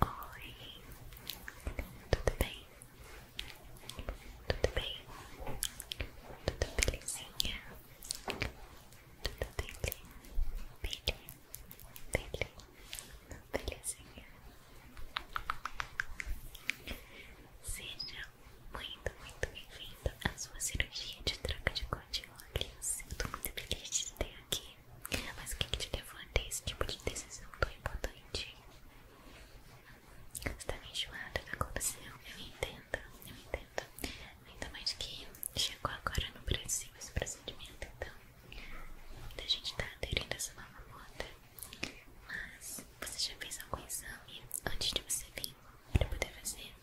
Oi, tudo bem? Tudo bem? Tudo belezinha? Tudo bele? Bele? Bele? Belezinha? Seja muito, muito bem-vindo à sua cirurgia de troca de continue. Eu tô muito feliz de te ter aqui. Mas o que, te levou a ter esse tipo de decisão tão importante? Você tá meio enjoada o que Eu entendo, eu entendo. Ainda mais que chegou agora no Brasil esse procedimento, então muita gente tá aderindo a essa nova moda. Mas você já fez algum exame antes de você vir pra poder fazer?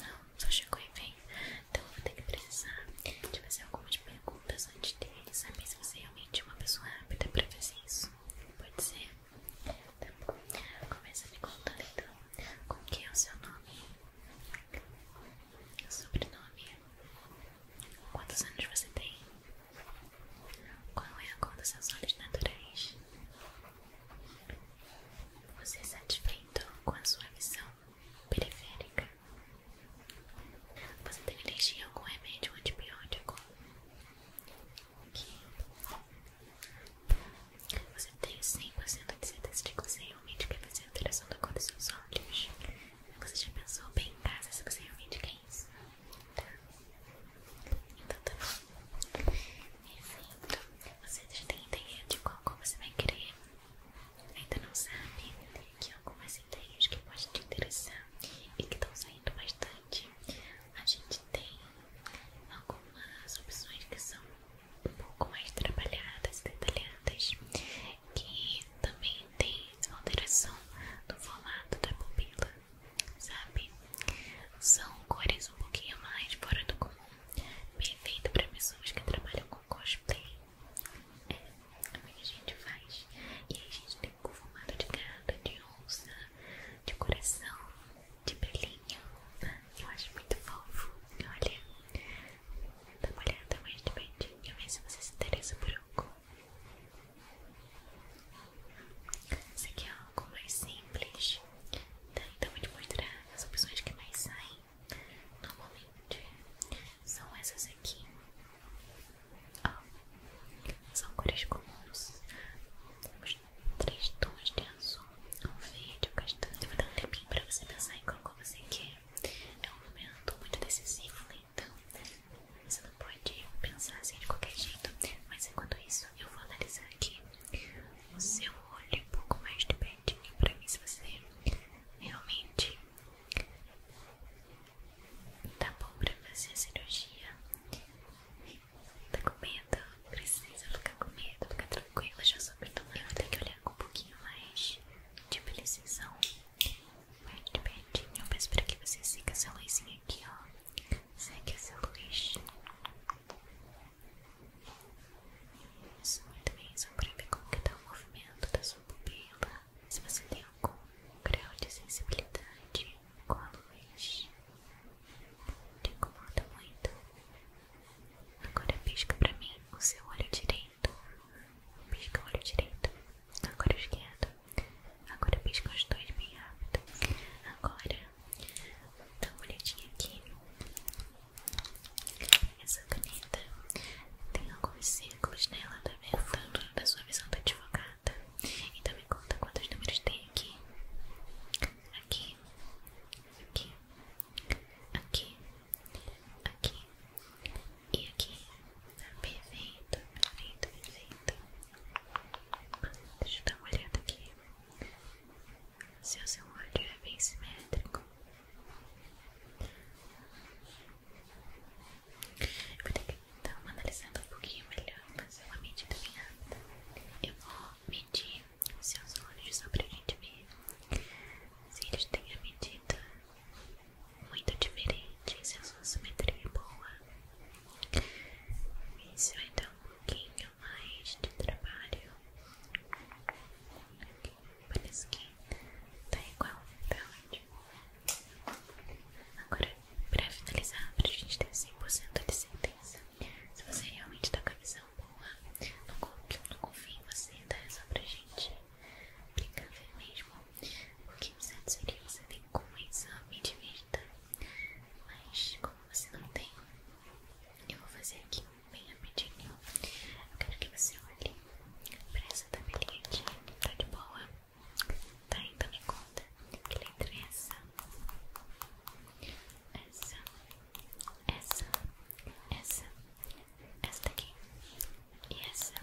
Não, só chegou em veio. Então eu vou ter que precisar de fazer algumas perguntas antes dele, saber se você é realmente é uma pessoa rápida pra fazer isso. Pode ser? Tá bom. me contando então. Como que é o seu nome? sobrenome? Quantos anos você tem? Qual é a cor dos seus olhos naturais? Você é satisfeito com a sua visão periférica? Você tem alergia a algum remédio ou antibiótico? Aqui. Você tem 100% de certeza de que você realmente quer fazer a alteração da cor dos seus olhos? Você já pensou bem em casa se você realmente quer isso? Tá. Então tá bom. Perfeito. Você já tem ideia de qual cor você vai querer? Ainda não sabe que algumas ideias que podem te interessar e que estão saindo bastante. A gente tem algumas opções que são um pouco mais trabalhadas, detalhadas, que também tem alteração no formato da pupila, sabe? São cores um pouquinho mais fora do comum perfeito para pessoas que trabalham com cosplay. É, é o que a gente faz. E aí a gente tem um formato de gata, de onça, de coração, de pelinho. Eu acho muito fofo. Olha, dá uma olhada mais de pertinho, ver se você se interessa por algum. Esse aqui é algo mais simples. Tá, então vou te mostrar as opções que mais saem normalmente. São essas aqui. são cores comuns. Temos três tons de azul, um verde, um castanho. Eu vou dar um tempinho pra você pensar em qual cor você quer. É um momento muito decisivo, né? então você não pode pensar assim de qualquer jeito. Mas enquanto isso, eu vou analisar aqui o seu olho é um pouco mais de pertinho para mim se você realmente tá bom para fazer a cirurgia. Tá com medo? Precisa ficar com medo, fica tranquila, já soube tomar. Eu tenho que olhar com um pouquinho mais de precisão. Mais de pertinho, eu peço para que você siga essa luzinha aqui, ó. Segue essa luz. Isso, muito bem, só pra ver como que dá tá o movimento da sua pupila Se você tem algum grau de sensibilidade com a luz Te incomoda muito Agora pisca pra mim o seu olho direito Pisca o olho direito Agora o esquerdo Agora pisca os dois bem rápido Agora dá Então, olhadinha aqui. Essa caneta tem alguns círculos nela, tá vendo? Tanto da sua visão da advogada. Então, me conta quantos números tem aqui. Aqui, aqui, aqui, aqui e aqui. Tá perfeito, perfeito, perfeito. Deixa eu dar uma olhada aqui. Seu olho é bem simétrico. Eu vou ter que dar uma analisada um pouquinho melhor, fazer uma medida bem Eu vou medir os seus olhos só pra gente ver se eles têm a medida muito diferente, se a sua simetria é boa. Isso vai então, dar um pouquinho pouquinho mais de trabalho. Aqui, parece que tá igual, tá ótimo. Agora, pra finalizar, pra gente ter 100% de certeza, se você realmente tá com a visão boa, não, confio, não confio em você, dá tá? É só pra gente brincar mesmo. O que o certo seria você vir com um exame de vista, mas como você não tem, eu vou fazer aqui um bem rapidinho. Eu quero que você olhe pra essa tabelinha aqui. Tá de boa? Tá, então me conta. Que letra é essa? Essa, essa, essa, essa daqui e essa.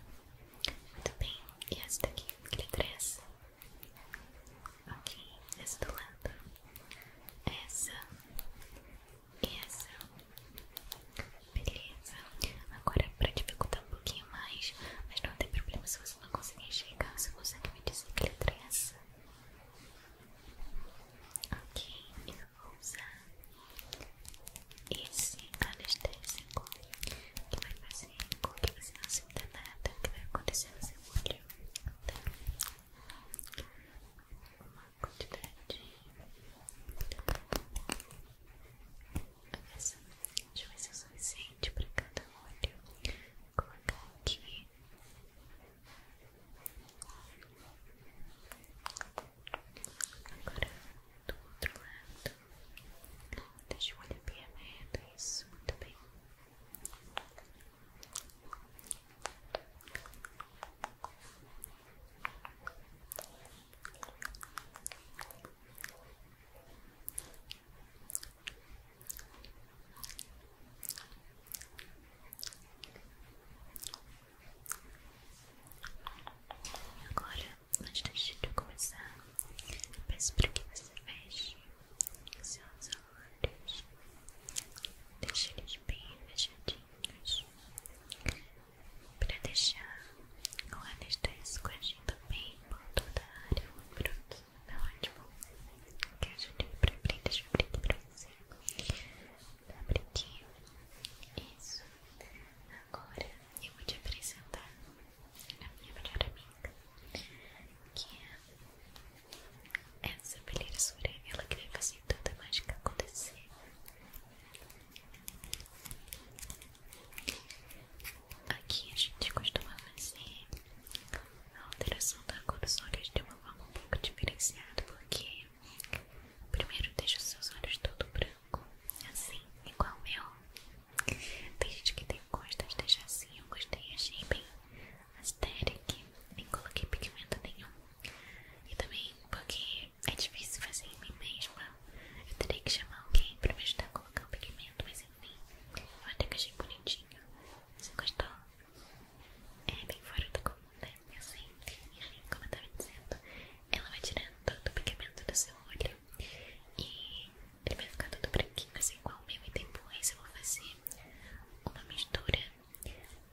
Muito bem, e essa daqui. Que letra é essa? Ok, essa do lado. Essa e essa. Beleza. Agora, pra dificultar um pouquinho mais, mas não tem problema se você não conseguir enxergar, você consegue me dizer que letra é essa? Ok, eu vou usar esse anestésico que vai fazer com que você não sinta nada que vai acontecer no seu olho. Tá? quantidade eu já vai ser suficiente para cada olho Vou colocar aqui agora do outro lado deixa o olho bem aberto isso, muito bem Agora, antes de começar, peço para que você feche seus olhos, deixa eles bem fechadinhos, para deixar o anestésio agindo bem por toda a área. Pronto, tá ótimo. Que ajude pra abrir, deixa eu abrir aqui pra você. Abre tá aqui. Isso. Agora eu vou te apresentar a minha melhor amiga, que é é, essa peneira ela que vai fazer toda mágica acontecer. Aqui a gente costuma fazer a alteração da cor dos olhos de uma forma um pouco diferenciada, porque primeiro deixa os seus olhos todo branco, assim, igual o meu. Tem gente que tem costas, de deixar assim, eu gostei, achei bem Asteric, nem coloquei pigmento nenhum. E também porque é difícil fazer em mim mesma, eu terei que chamar alguém para me ajudar a colocar o pigmento, mas enfim, eu até que achei bonitinho. Você gostou? É bem fora do comum, né? Eu sei. Assim, enfim, como eu tava dizendo, ela vai tirando todo o pigmento do seu olho e ele vai ficar todo branquinho, assim igual o meu. E depois eu vou fazer uma mistura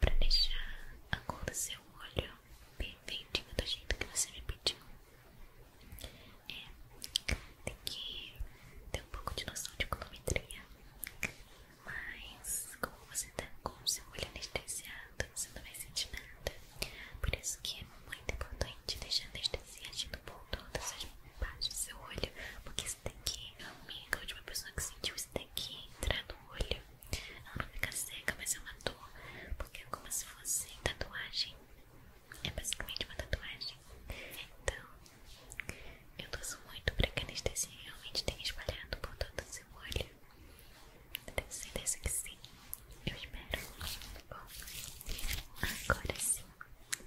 para deixar a cor do seu olho bem perfeitinho do jeito que você me pediu. É, tem que ter um pouco de noção de colometria, mas como você tá com o seu olho anestesiado, você não vai sentir nada. Por isso que é muito importante deixar anestesiado anestesia por todas as partes do seu olho, porque esse daqui, amiga, a última pessoa que sentiu esse daqui entrar no olho, ela não fica seca, mas é uma dor, porque é como se fosse tatuagem, é basicamente uma tatuagem. Então, eu torço muito para que a anestesia realmente tenha espalhado por todo o seu olho. Eu tenho certeza que sim, eu espero. Bom, agora sim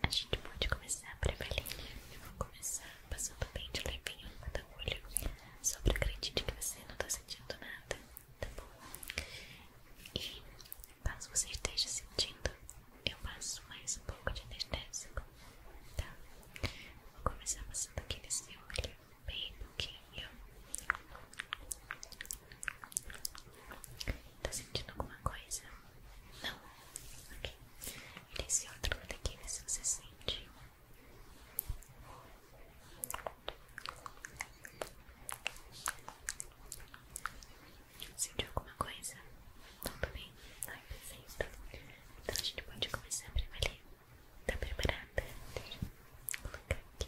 a gente pode começar a Eveline. Eu vou começar passando bem de levinho no meu olho, só acredite que você não está sentindo nada, tá bom? E caso você esteja sentindo, eu passo mais um pouco de anestésico, tá? Vou começar passando aqui nesse meu olho, bem pouquinho. Tá sentindo alguma coisa? Não? Ok. E nesse é outro lado aqui, vê se você sente. Sentiu alguma coisa? Tá tudo bem? Ai, perfeito. Então a gente pode começar a prevaler. Tá preparada? Deixa eu colocar aqui.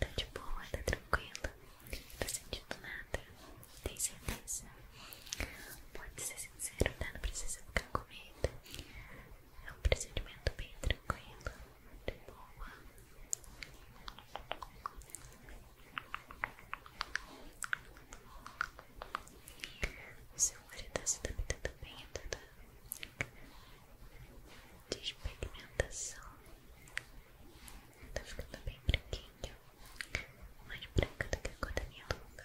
Tá de boa, tá tranquila, não tá sentindo nada, tem certeza? Pode ser sincero, tá? Não precisa ficar com medo. É um procedimento bem tranquilo, de boa. seu olho tá se adaptando bem a tá toda despigmentação. Tá ficando bem branquinho, mais branca do que a cor da minha luva.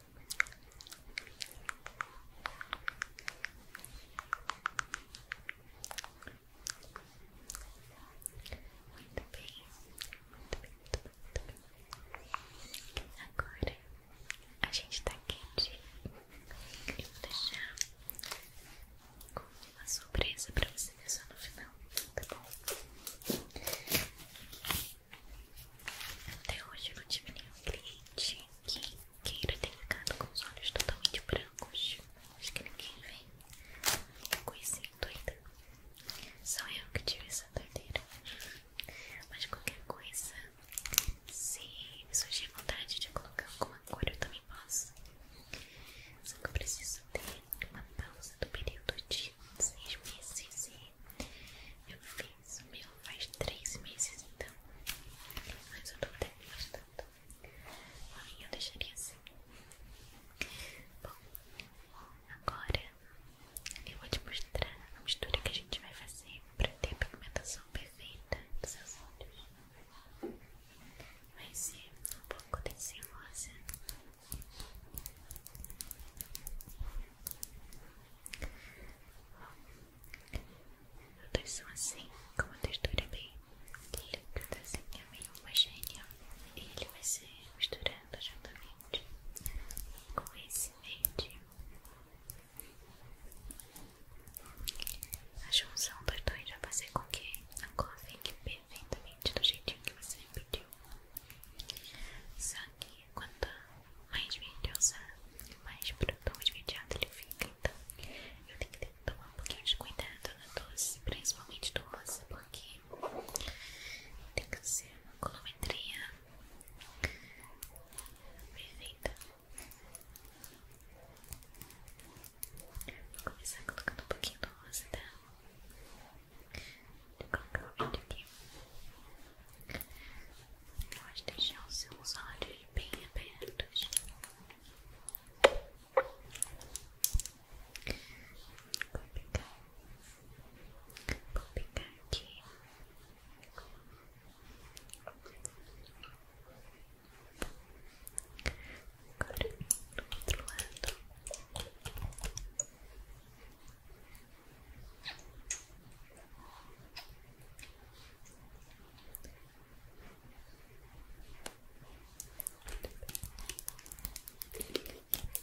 Muito bem, muito bem, muito bem, Agora a gente tá quente. Eu vou deixar com uma surpresa pra você só no final, tá bom? Até hoje eu não tive nenhum cliente que queira ter ficado com os olhos totalmente brancos. Acho que ninguém vem conhecendo ainda. Só eu que tive essa doideira. Mas qualquer coisa, se surgir vontade de colocar alguma coisa eu também posso. Só que eu preciso ter uma pausa do período de seis meses eu fiz o meu faz três meses então, mas eu tô até gostando. A minha eu deixaria assim. Bom, agora eu vou te mostrar a mistura que a gente vai fazer para ter a pigmentação perfeita dos seus olhos. Vai ser um pouco desse Todas são assim, com uma textura é bem líquida, assim, é meio homogênea. E ele vai ser misturando juntamente com esse verde. A junção dos dois vai fazer com que a cor fique perfeitamente do jeitinho que você pediu vermelho. Só que quanto mais verde eu usar, mais produto imediato ele fica. Então, eu tenho que, tomar um pouquinho de cuidado na doce, principalmente do rosa, porque tem que ser uma colometria perfeita. Vou começar colocando um pouquinho do rosa, tá? Vou aqui. Pode deixamos os seus olhos bem abertos. Vou pegar, vou pegar aqui. Agora do outro lado.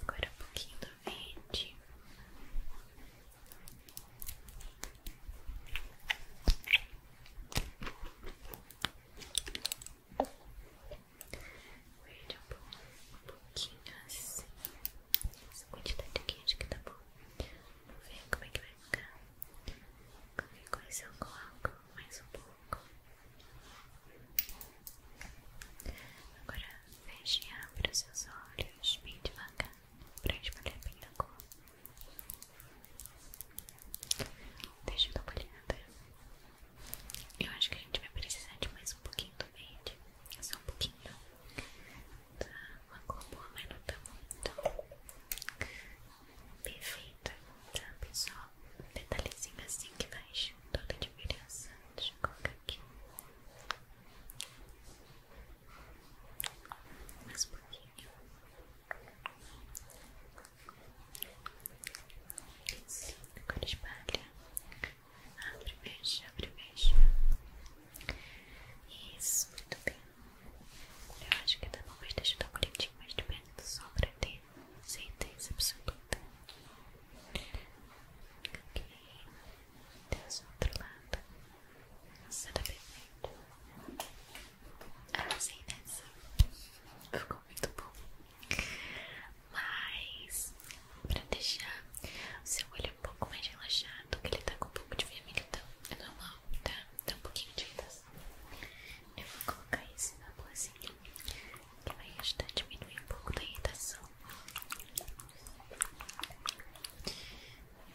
Agora um pouquinho do verde um pouquinho assim. Essa quantidade aqui acho que tá bom. Vamos ver como é que vai ficar. com isso eu coloco mais um pouco. Agora feche e abra os seus olhos bem devagar para espalhar bem a cor. Deixa eu dar uma olhada. Eu acho que a gente vai precisar de mais um pouquinho é só um pouquinho, tá? Uma cor boa, mas não tá muito perfeita, tá pessoal? detalhezinho assim que faz toda a diferença. Deixa eu colocar aqui mais um pouquinho. Isso, agora espalha Abre, fecha, abre, fecha. Isso, muito bem. Eu acho que tá bom, mas deixar eu dar um gritinho mais de perto só pra ter certeza absoluta. Ok. tem do outro lado. Nossa, tá perfeito. Arrasei ah, nessa. Ficou muito bom mas pra deixar o seu olho um pouco mais relaxado, que ele tá com um pouco de vermelhidão, é normal, tá? Tá um pouquinho de irritação. Eu vou colocar isso na bolsinha, que vai ajudar a diminuir um pouco da irritação.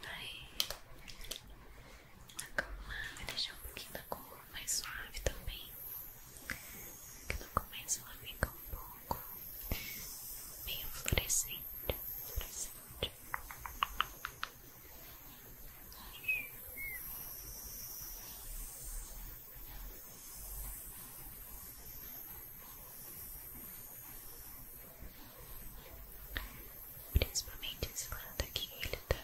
Vai acalmar, vai deixar um pouquinho da cor mais suave também, que no começo ela fica um pouco longo, meio fluorescente, Principalmente esse lado aqui, ele tá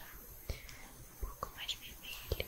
um pouco mais vermelho.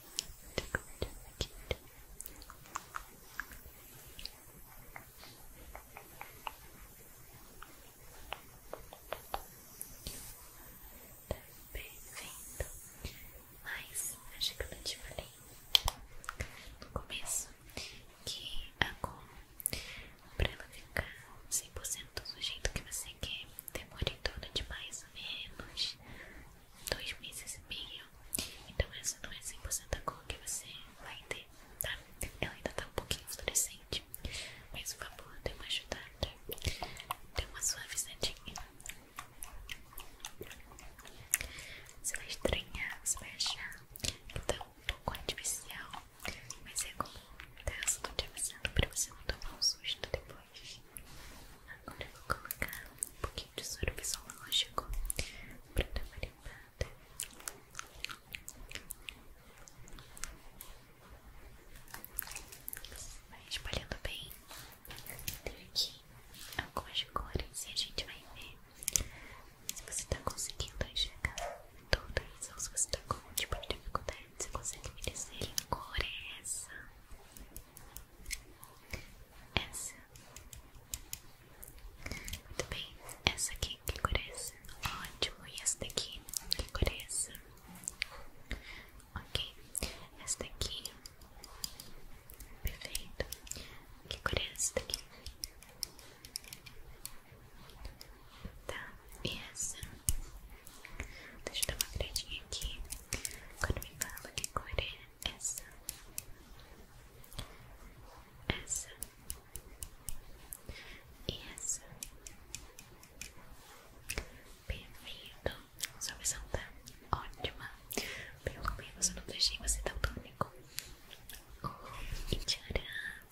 tá Perfeito. Mas acho que eu não te falei no começo que a ah, goma, pra ela ficar 100% do jeito que você quer, demora em torno de mais ou menos dois meses e meio. Então, essa não é 100% a cor que você vai ter, tá? Ela ainda tá um pouquinho fluorescente, mas o vapor deu uma ajudada, deu uma suavizadinha. Você vai estranhar, você vai achar que tá um pouco artificial, mas é como tá tô te avisando pra você não tomar um susto depois. Agora eu vou colocar um pouquinho de sorvete zoológico para dar uma limpada. Vai espalhando bem. Tem aqui algumas cores e a gente vai ver se você está conseguindo enxergar todas ou se você está com algum tipo de dificuldade. Você consegue me dizer que cor é essa? Essa. Muito bem. Essa aqui, que cor é essa? Ótimo. E essa daqui, que cor é essa? Ok. Essa daqui. Perfeito. Que cor é essa daqui? Tá. E essa? Deixa eu dar uma olhadinha aqui. Quando me fala que cor é essa? Essa e essa. Perfeito. Sua visão tá ótima. Pelo menos eu não deixei você tão tônico. Oh, e tcharam!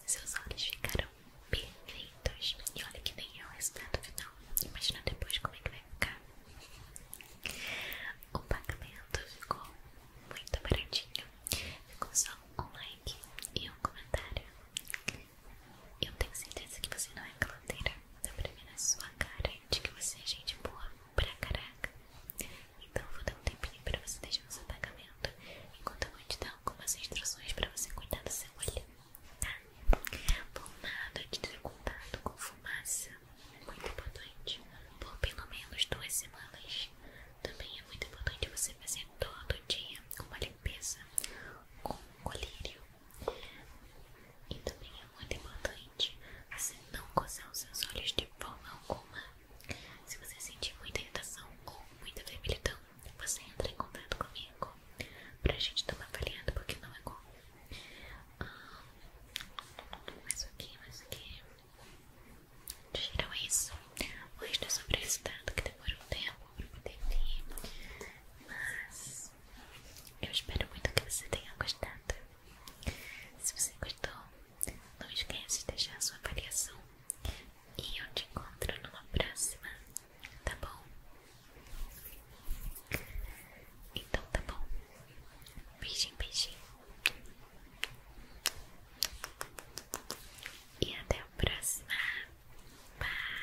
Seus olhos ficaram perfeitos. E olha que nem é o resultado final. Imagina depois como é que o pagamento ficou muito baratinho. Ficou só um like e um comentário. Eu tenho certeza que você não é caloteira. Dá pra ver na sua cara de que você é gente boa pra caraca. Então vou dar um tempinho pra você deixar o seu pagamento. Enquanto eu vou te dar algumas instruções pra você cuidar do seu olho por nada de ter contato com fumaça é muito importante por pelo menos duas semanas. Também é muito importante você fazer todo dia uma limpeza com um colírio. E também é muito importante você não coçar os seus olhos de forma alguma. Se você sentir muita irritação ou muita debilitação, você entra em contato comigo bom pra gente tomar uma porque não é comum. Ah, mais aqui, mais aqui. Tiram isso. O resto é sobre o estado que demora um tempo pra poder vir. Mas eu espero muito que você tenha gostado. Se você gostou, não esqueça de deixar a sua avaliação. E eu te encontro numa próxima Tá bom? Então tá bom. Beijinho, beijinho. E até o próximo Bye.